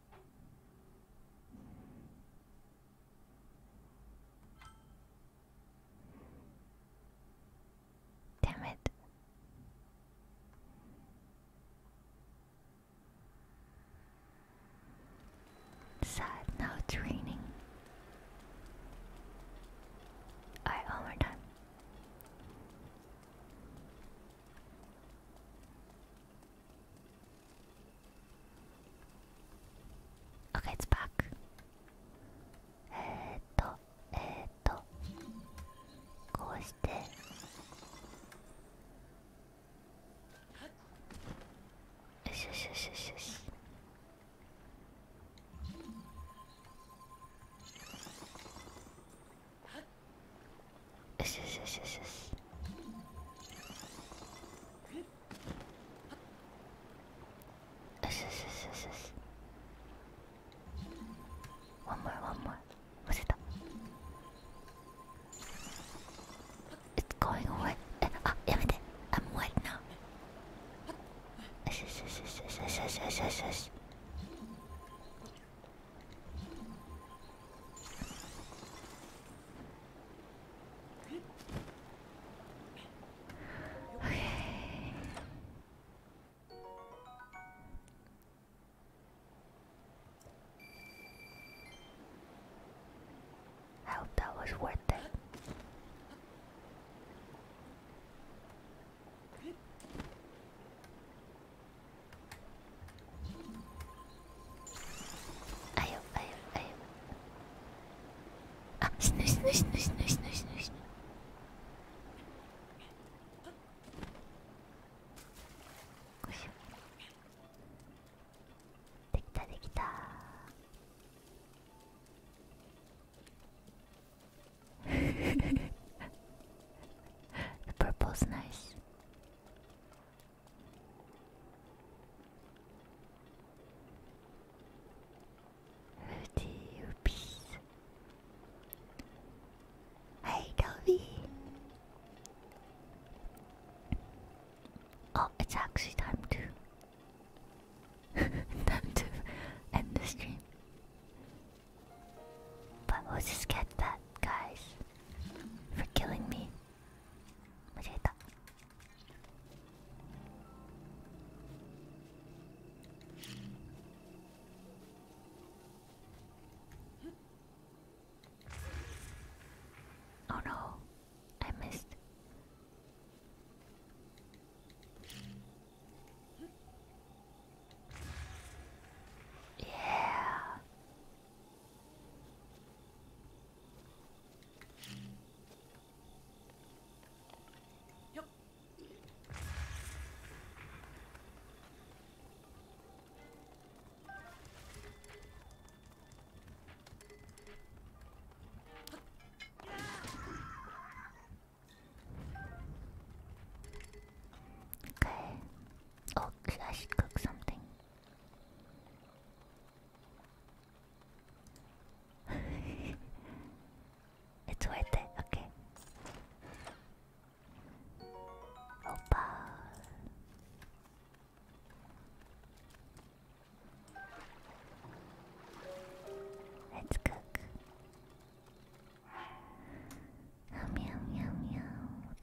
Damn it. Sad now it's raining. Alright, one more time. o k a パーク。えっと、えっと、こうして。よしよしよしよしよし。One more, one more. Was it? It's going away. Ah, yeah, I'm wet now. Yes, yes, yes, yes, yes, yes, yes, yes. Okay. I hope that was worth it. あよあよあよあ死ぬ死ぬ死ぬ死ぬ死ぬ死ぬ死ぬこしょできたできたー The purple's nice Oops. Hey, Toby. Oh, it's actually time to time to end the stream. But we'll just get that, guys, for killing me. 間違えたおろ I missed. Yeah. Okay. Oh, I should cook something. it's worth it, okay. Opa. Let's cook. Meow meow meow.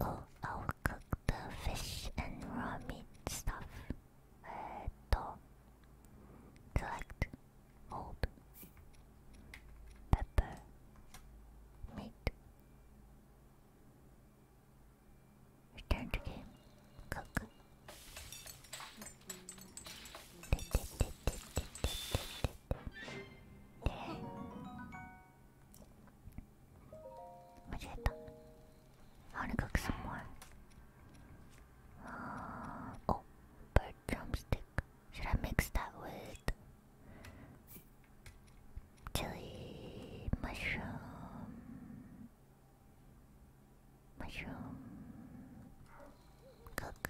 Oh, oh cook the fish and raw meat stuff. Uh, to collect gold, pepper, meat. Return to game. Cook. 間違えた I wanna cook some more Oh, bird drumstick Should I mix that with chili, mushroom Mushroom Cook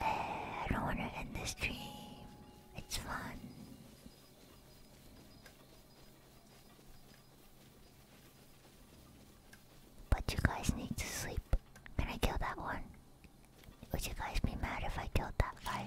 I don't want to end this stream. It's fun. But you guys need to sleep. Can I kill that one? Would you guys be mad if I killed that guy?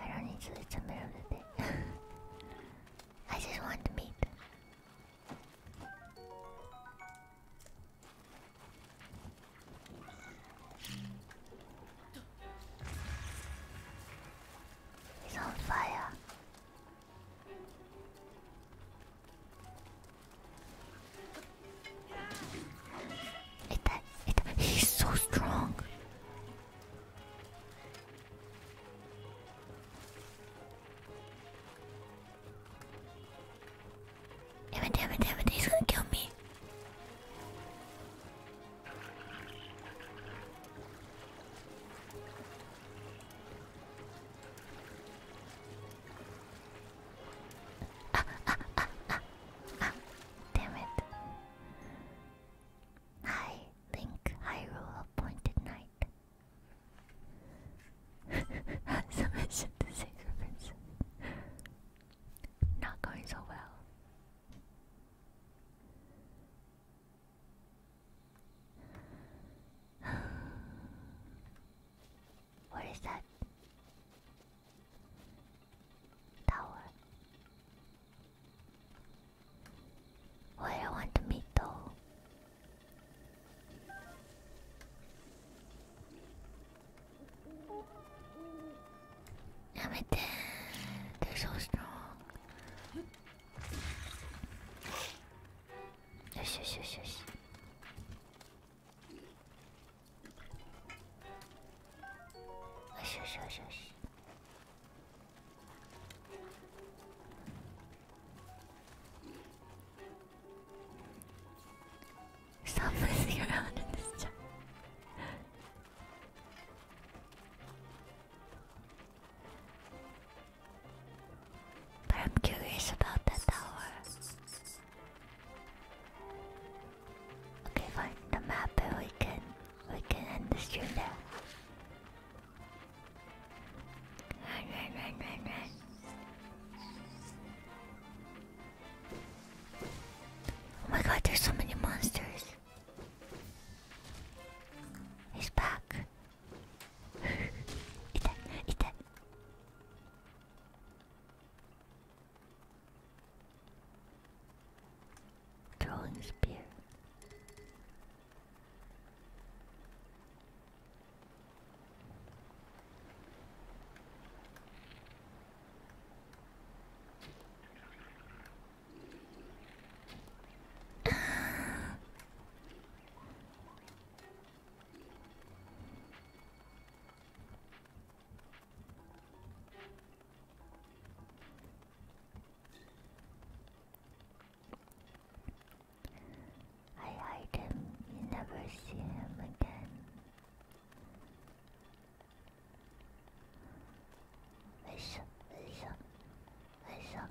I don't need to, it's the middle of I just want to meet. on fire. It, it, he's so strong. Damn it, damn it, damn it, he's gonna kill me. ah, ah, ah, ah. ah. Damn it. I rule Hyrule Appointed Knight. Submission to Sacred Princess. Not going so well. what is that? Tower. Where I want to meet though. Damn it, they're so strong. Shush, shush, shush. Shush, shush, shush. But I'm curious about the tower. Okay, fine. The map, we can we can end the stream now. Run, run, run, run, run. Oh my god, there's so many monsters. He's back. eat that, Throwing spear. I hide him, you never see him again. Lisa, Lisa, Lisa.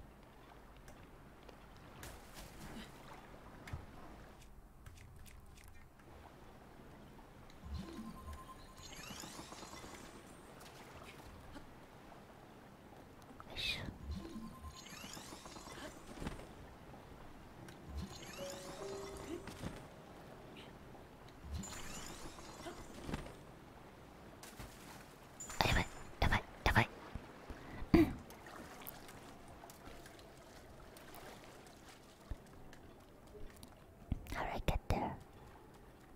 いしょあやばいやばいやばいうんあれ get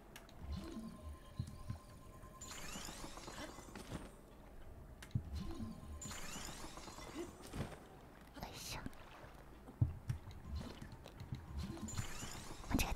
しょ間違え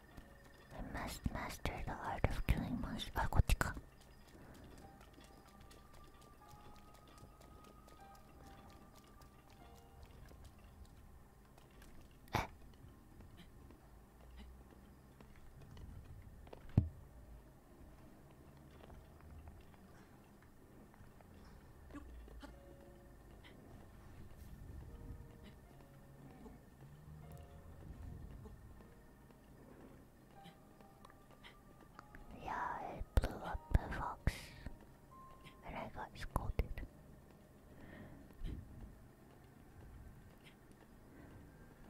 I must master the art of killing most Ah, yeah, it blew up the fox. And I got scolded.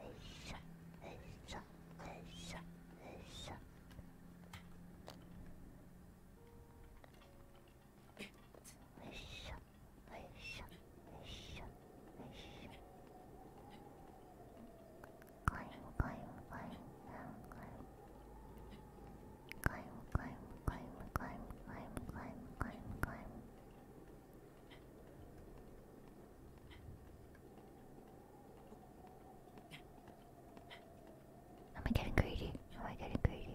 It's up, it's up, Climb, climb, climb, down, climb. Climb, climb, climb, climb, climb, climb, climb, climb. Am I getting greedy? Am I getting greedy?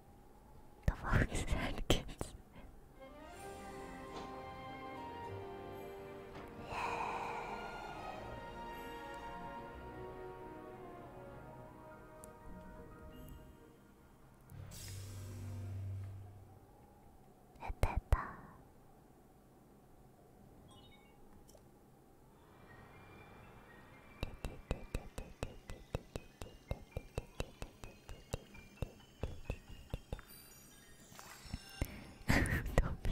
The fuck is that, kids? Yeah. Don't be.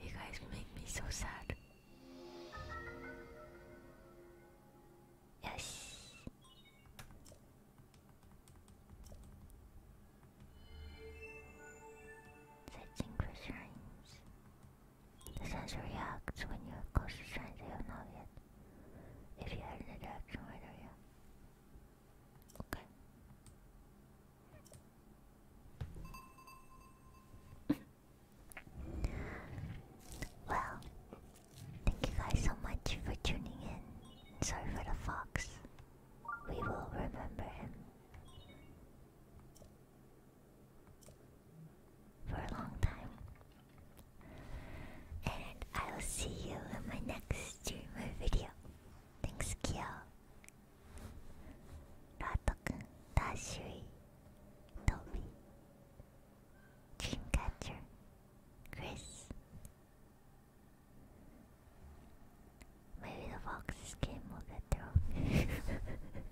You guys make me so sad. Yes. Searching for the sensor reacts when you're close to signs you have not yet. If you had an interaction right there, yeah. Okay. well, thank you guys so much for tuning in. Sorry for the fox. We will remember him for a long time. And I will see you in my next stream video. Thanks, Kyo. Rato-kun, Dashiri, Toby, Dreamcatcher, Chris. Maybe the foxes game will get through.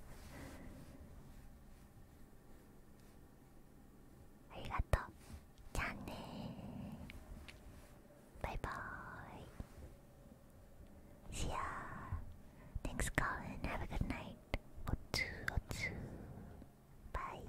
ありがとうじゃあねーバイバーイ See ya Thanks Colin Have a good night おつおつバイ